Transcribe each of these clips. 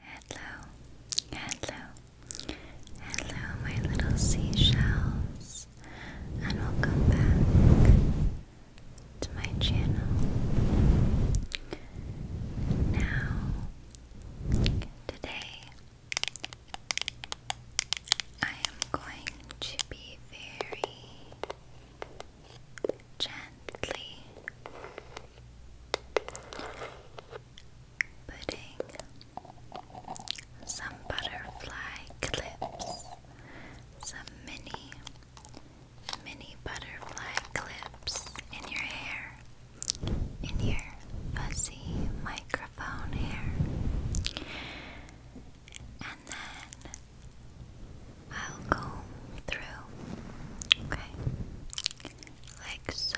Hello, hello, hello, my little seashells, and welcome back to my channel. Now, today, I am going to be very gentle putting some butterfly clips, some mini, mini butterfly clips in your hair, in your fuzzy microphone hair, and then I'll comb through. Okay like so,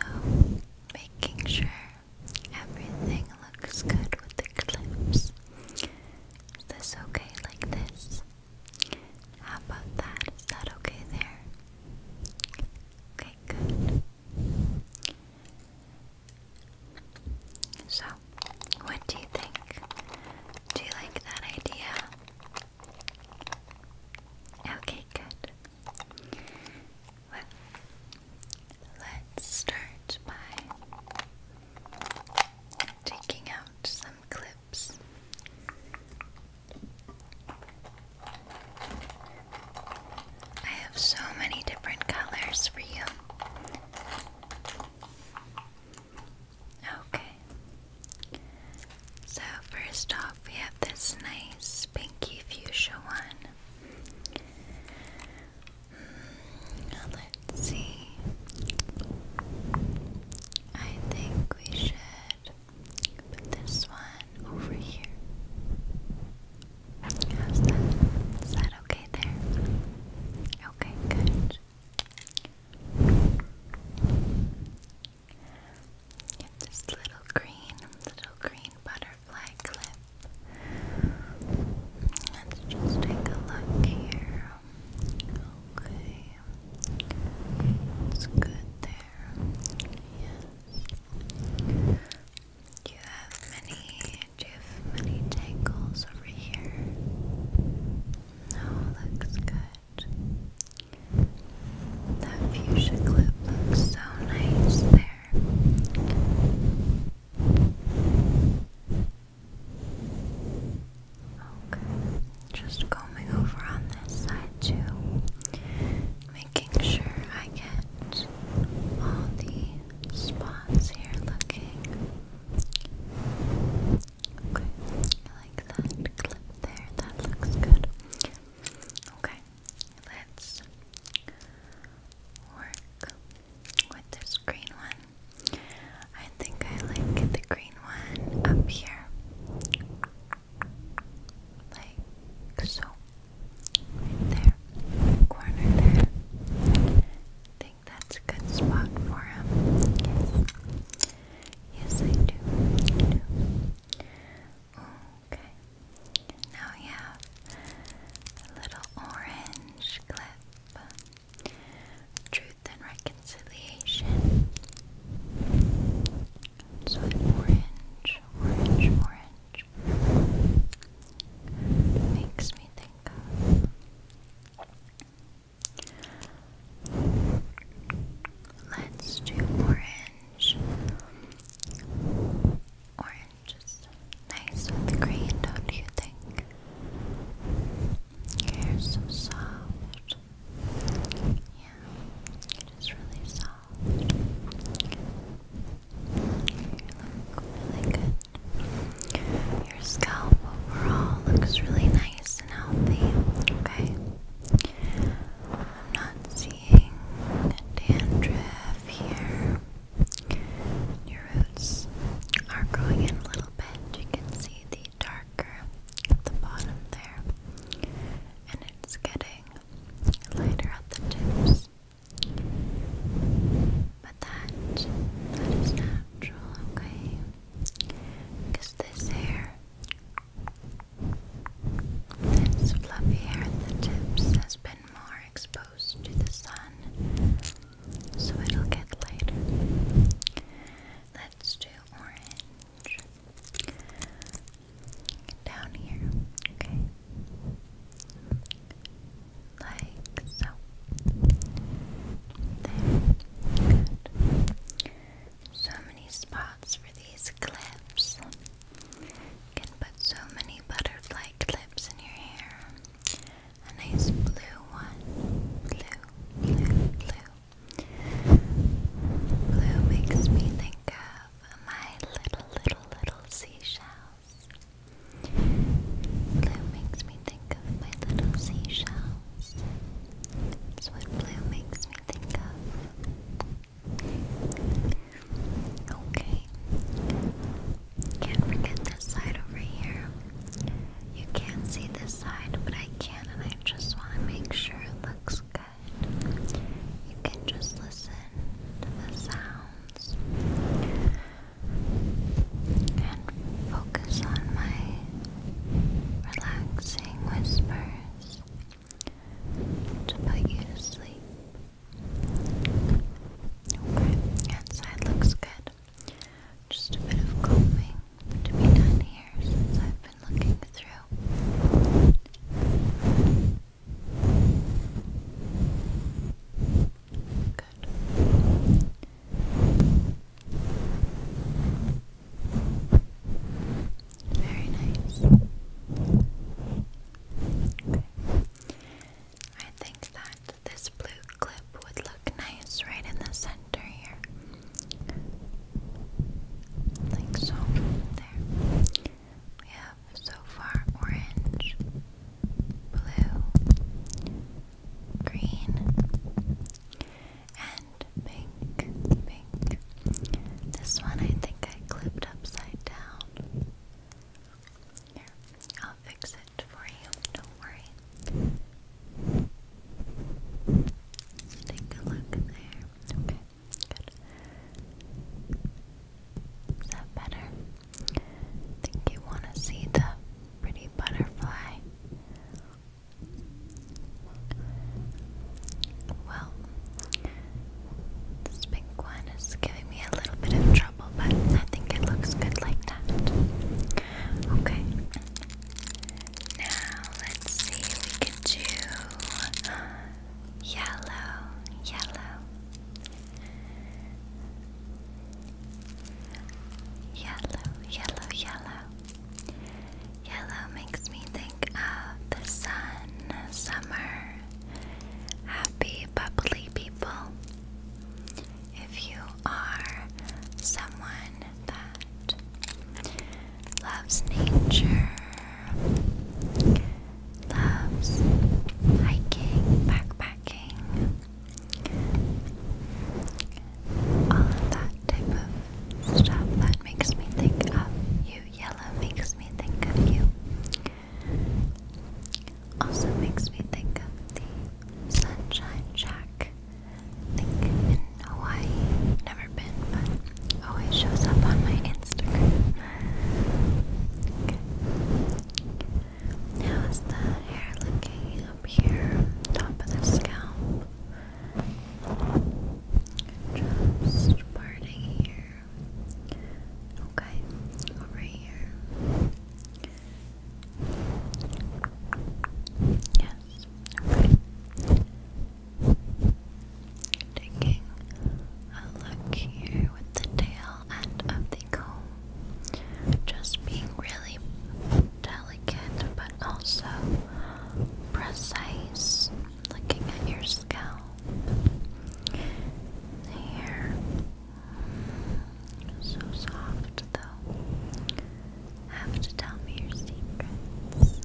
making sure everything looks good with the clips. Is this okay like this? How about that? Is that okay there? Okay, good. So, what do you think? Do you like that idea? Okay, good. Well, let's start by taking out some clips. I have so many different colors for you. Okay. So, first off, we have this nice pinky fuchsia one. Mm, let's see. I think we should put this one over here. How's that? Is that okay there? Okay, good. It's have this little green, little green butterfly clip. Let's just take a look here. Okay. It's good there. Yes. you have many you have many tangles over here? No, looks good. That fuchsia clip looks so nice there. Okay, just combing over on this side too, making sure I get all the spots here looking Okay, I like that clip there. That looks good. Okay, let's work with this green one. I think I like the green one up here. Like so. there. Corner there. think that's a good spot for him. Yes, I do. Okay. Now we have a little orange clip. Truth and reconciliation. So orange, orange, orange. Makes me think Let's do orange. Orange is nice with green, do you think? Your hair's so soft. Yeah, it is really soft. You look really good. Your scalp overall looks really nice healthy, okay? I'm not seeing dandruff here. Your roots are growing in a little bit. You can see the darker at the bottom there, and it's getting lighter at the tips. But that, that is natural, okay? Because this hair his fluffy hair at the tips has been more exposed to the sun, so it'll get lighter. Let's do orange. Down here, okay? Like so. There so many spots for these clips. can put so many butterfly clips in your hair. A nice blue one. Blue, blue, blue. Blue makes me think of my little, little, little seashells. Blue makes me think of my little seashells. It's what blue makes me think of. Okay. Can't forget this side over here. You can't see this side, but I can, and I just want to make sure it looks good. You can just listen to the sounds and focus on my relaxing whispers to put you to sleep. outside looks good. Just a bit of combing to be done here since I've been looking through. Good. Very nice. I think that this blue clip would look nice right in the center here. Like so. There. We have so far orange, blue, green, and pink, pink. This one I think I clipped upside down. Here, I'll fix it for you, don't worry. Take a look there. Okay, good. Is that better? think you want to see the pretty butterfly well, this big one is giving me a little bit of trouble, but I think it looks good like that. Okay. Now let's see. We could do yellow, yellow, yellow, yellow, yellow yellow. makes me think of the sun, summer, happy, bubbly people. If you are someone that loves nature, loves hiking, backpacking, all of that type of stuff that makes me think of you. Yellow makes me think of you. Also makes me think of the Sunshine Shack. in Hawaii. Never been, but always shows up on my Instagram. How's the hair looking? up here, top of the scalp. Just parting here. Okay, over here. Yes, Taking a look here with the tail end of the comb. Just being really delicate but also precise looking at your scalp hair so soft though have to tell me your secrets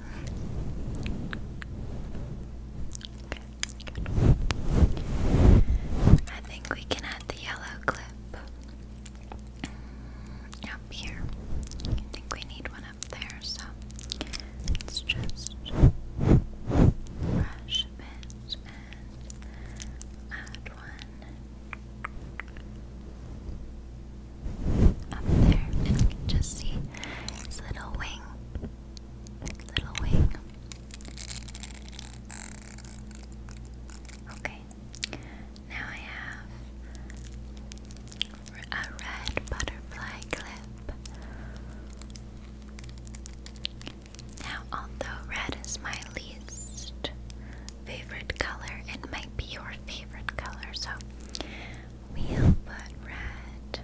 okay I think we can add the yellow clip up here. I think we need one up there, so let just brush a and add one up there. just see his little wing. Little wing. Okay, now I have a red butterfly clip. Now, although red is my least favorite color, it might be your favorite color, so we'll put red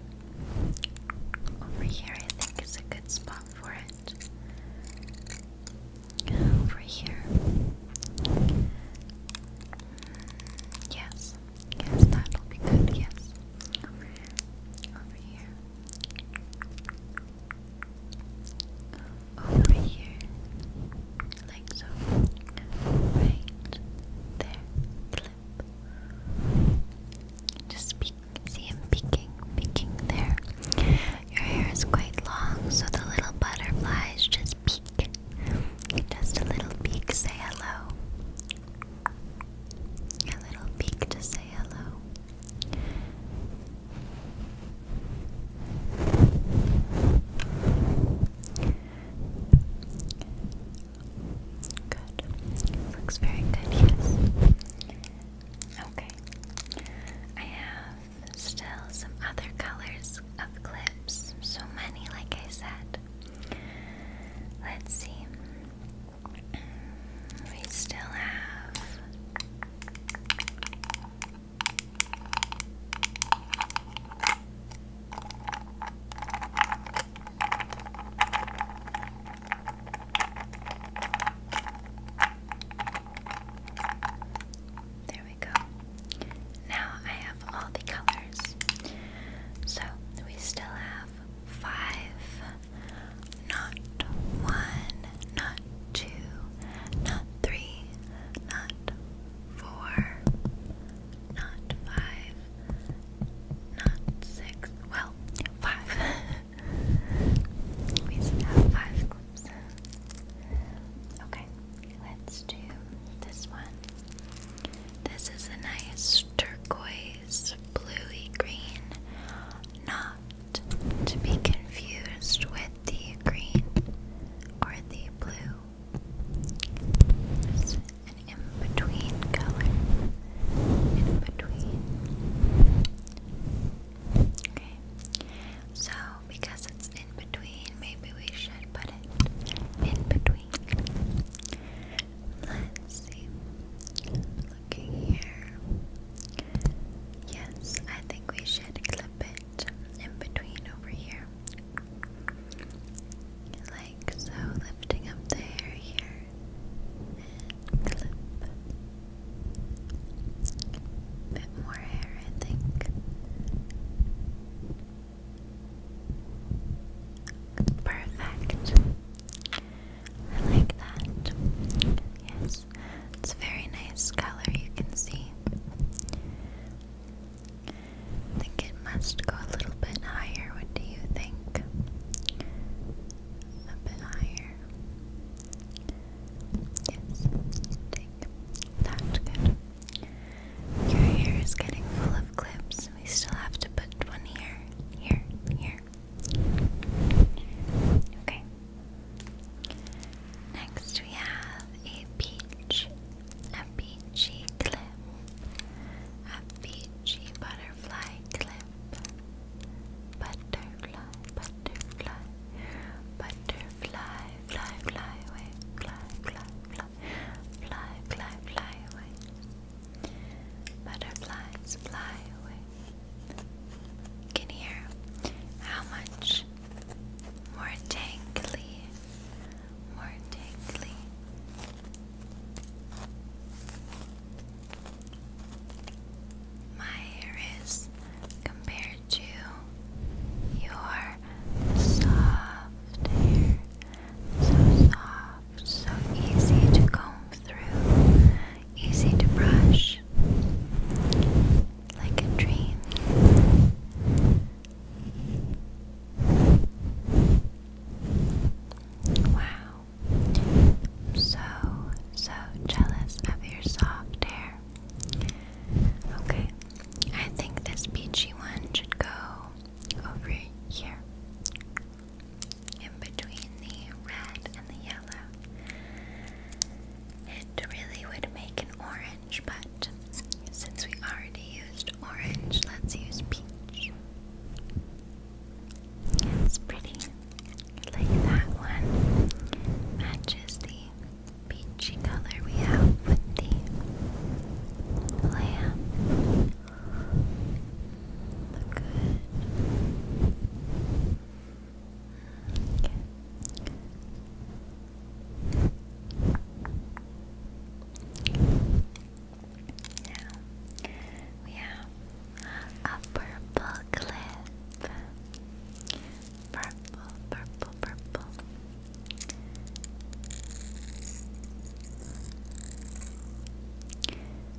over here. I think is a good spot for it over here. Mm, yes, yes, that'll be good. Yes, over here, over here, over here, like so. Right there, clip. Just peek, see him peeking, peeking there. Your hair is quite long, so the little butterflies just peek. Just a little peek, say hello. A little peek to say hello. Good. Looks very good, yes. Okay. I have still some other colors of clips. So many, like I said. Let's see. We still have. There we go. Now I have all the colors. So we still have five, not one, not two, not three, not four, not five, not six, well, five. We still have five clips. Okay, let's do this one. This is a nice turquoise, bluey green, not to be confused with the green or the blue. It's an in between color. In between so because it's in between, maybe we should put it in between. Let's see. Looking here. Yes, I think we should clip it in between over here. Like so, lifting up the hair here clip. Bit more hair, I think. Perfect. I like that. Yes, it's a very nice color, you can see. I think it must go a little bit higher. What do you think? A bit higher. Yes, take that. Your hair is getting full of clips. We still have to put one here, here, here. Okay. Next, we have a peach, a peachy clip, a peachy butterfly clip. Butterfly, butterfly, butterfly, fly, fly away, fly, fly, fly, fly, fly, fly away. Butterflies fly away. can hear how much more tangly, more tangly my hair is compared to your soft hair. So soft, so easy to comb through, easy to brush, like a dream. Wow so, so jealous of your soft hair. Okay, I think this peachy one should go over here. In between the red and the yellow. It really would make an orange, but since we already used orange, let's use peach. It's pretty. Like that one matches the peachy color we have with the lamp. Look good. Okay we have a purple clip. Purple, purple, purple.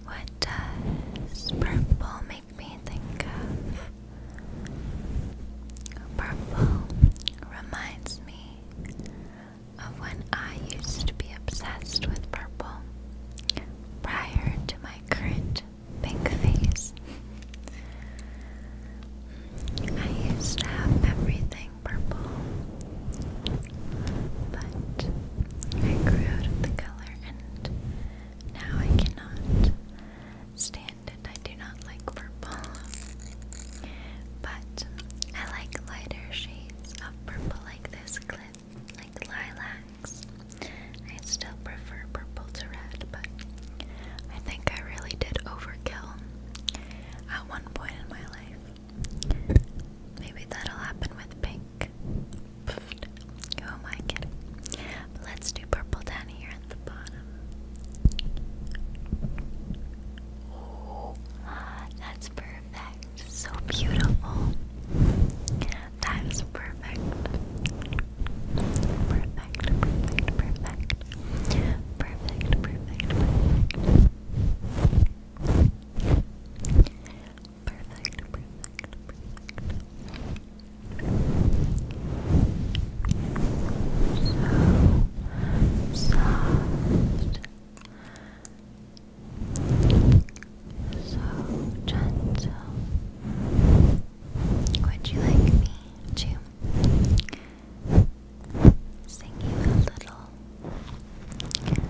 What does purple make me think of? Purple reminds me of when I used to be obsessed with purple prior to my my current pink face. I used to have everything purple, but I grew out of the color and now I cannot stand it. I do not like purple, but I like lighter shades of purple like this like lilacs. I still prefer purple to red, but I think I really did overkill at one point in my life. Maybe that'll happen with pink. Who am I kidding? But let's do purple down here at the bottom. Oh, that's perfect. So beautiful. Time's perfect. Perfect, perfect, perfect. Perfect, perfect, perfect. Perfect, perfect, perfect. So soft. So gentle. Would you like me to sing you a little lullaby?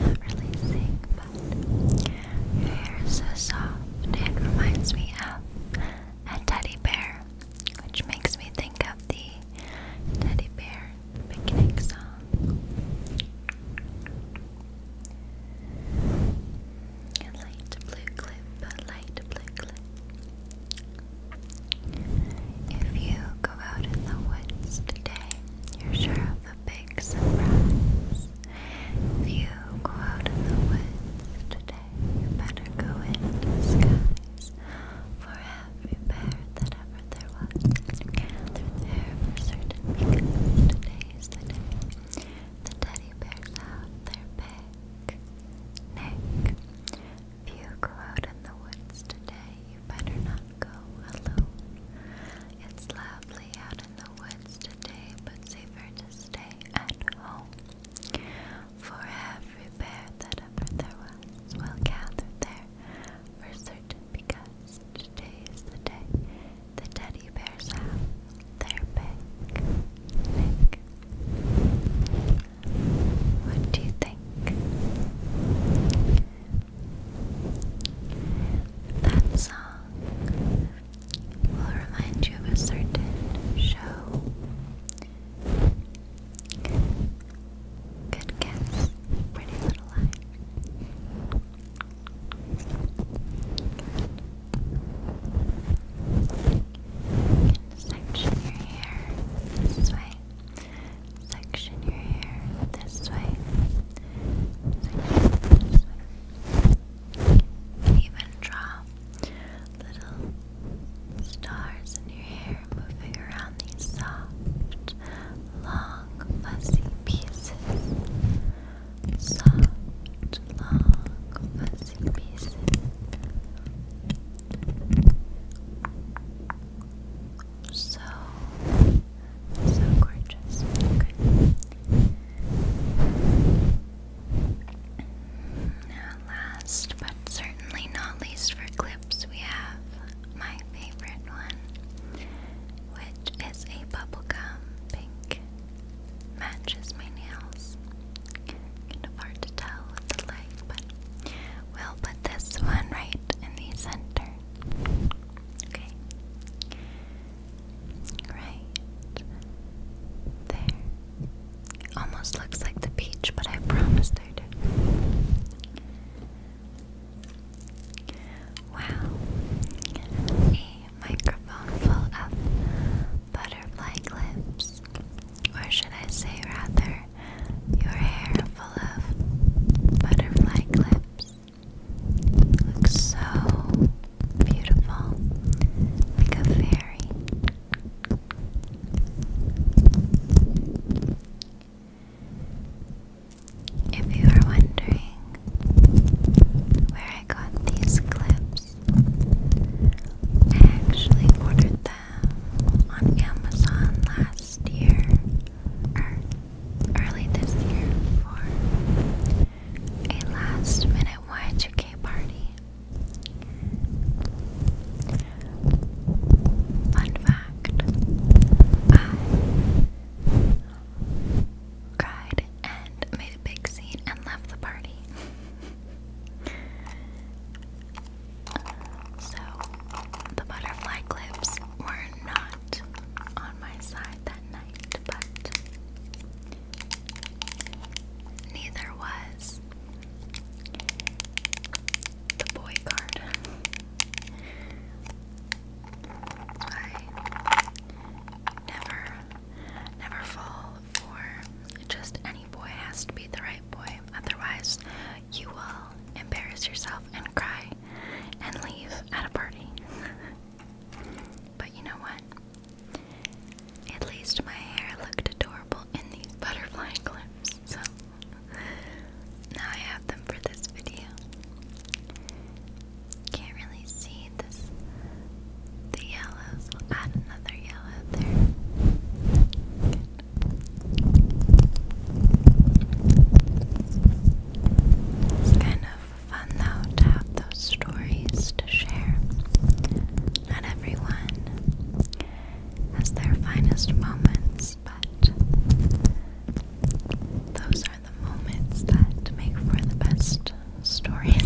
Not really sing, but your hair is so soft. It reminds me of a teddy bear, which makes me think of the teddy bear picnic song. light blue clip, light blue clip. If you go out in the woods today, you're sure of a big surprise. If you go out in the woods today, you better go into the For every bear that ever there was gathered there for certain because today is the day the teddy bears out their big neck. If you go out in the woods today, you better not go alone. It's lovely out in the woods today, but safer to stay at home. For every bear that ever there was will gather there for certain because today is the day the teddy bears have their big What do you think? That song will remind you of a certain show Good guess, pretty little eye. Section your hair this way. Section your hair this way. even draw little stars in your hair moving around these soft long fuzzy pieces. Soft, long fuzzy pieces. So, so gorgeous. Okay. Now, last but certainly not least for clips, we have my favorite one, which is a bubblegum pink. Matches my nails. Kind of hard to tell with the light, but we'll put this one right in the center. Okay. Right there. Almost looks like the peach, but I promised I'd. Wow, a microphone full of butterfly clips, or should I say, rather, your hair full of butterfly clips looks so beautiful, like a fairy. If you are wondering where I got these clips, I actually ordered them on Amazon last year or early this year for a last minute Y2K party. Fun fact I um, cried and made a big scene and left the party. so, the butterfly clips were not on my side that night, but neither was the boy card. I never, never fall for just any boy. Has to be the right boy, otherwise you will embarrass yourself and cry and leave at a party. but you know what? At least my hair looked adorable people in these butterfly clips, so now I have them for this video. Can't really see this the yellows. add another yellow there. It's kind of fun though to have those stories to share. Not everyone has their finest moments but those are the moments that make for the best stories.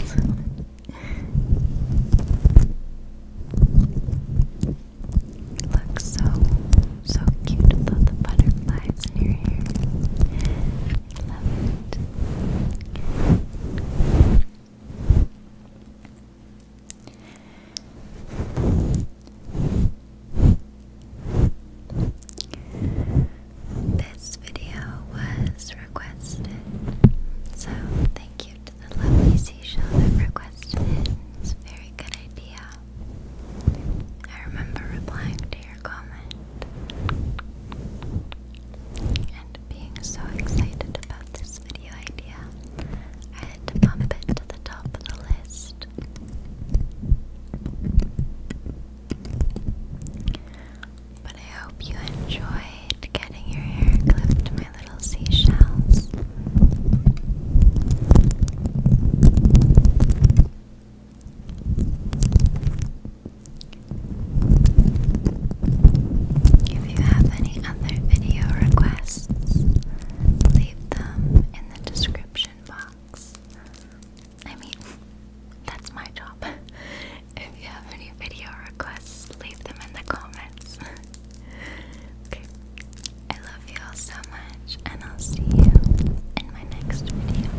Looks so, so cute with the butterflies in your hair. Love it. This video was requested, so thank you to the lovely seashell that requested It's a very good idea. I remember replying to your comment and being so excited about this video idea and bump it to the top of the list. But I hope you enjoyed getting your hair clipped, my little seashells. If you have any other video requests, leave them in the description box. I mean, that's my job. If you have any video requests, leave them in the comments. okay, I love you all so much, and I'll see you in my next video.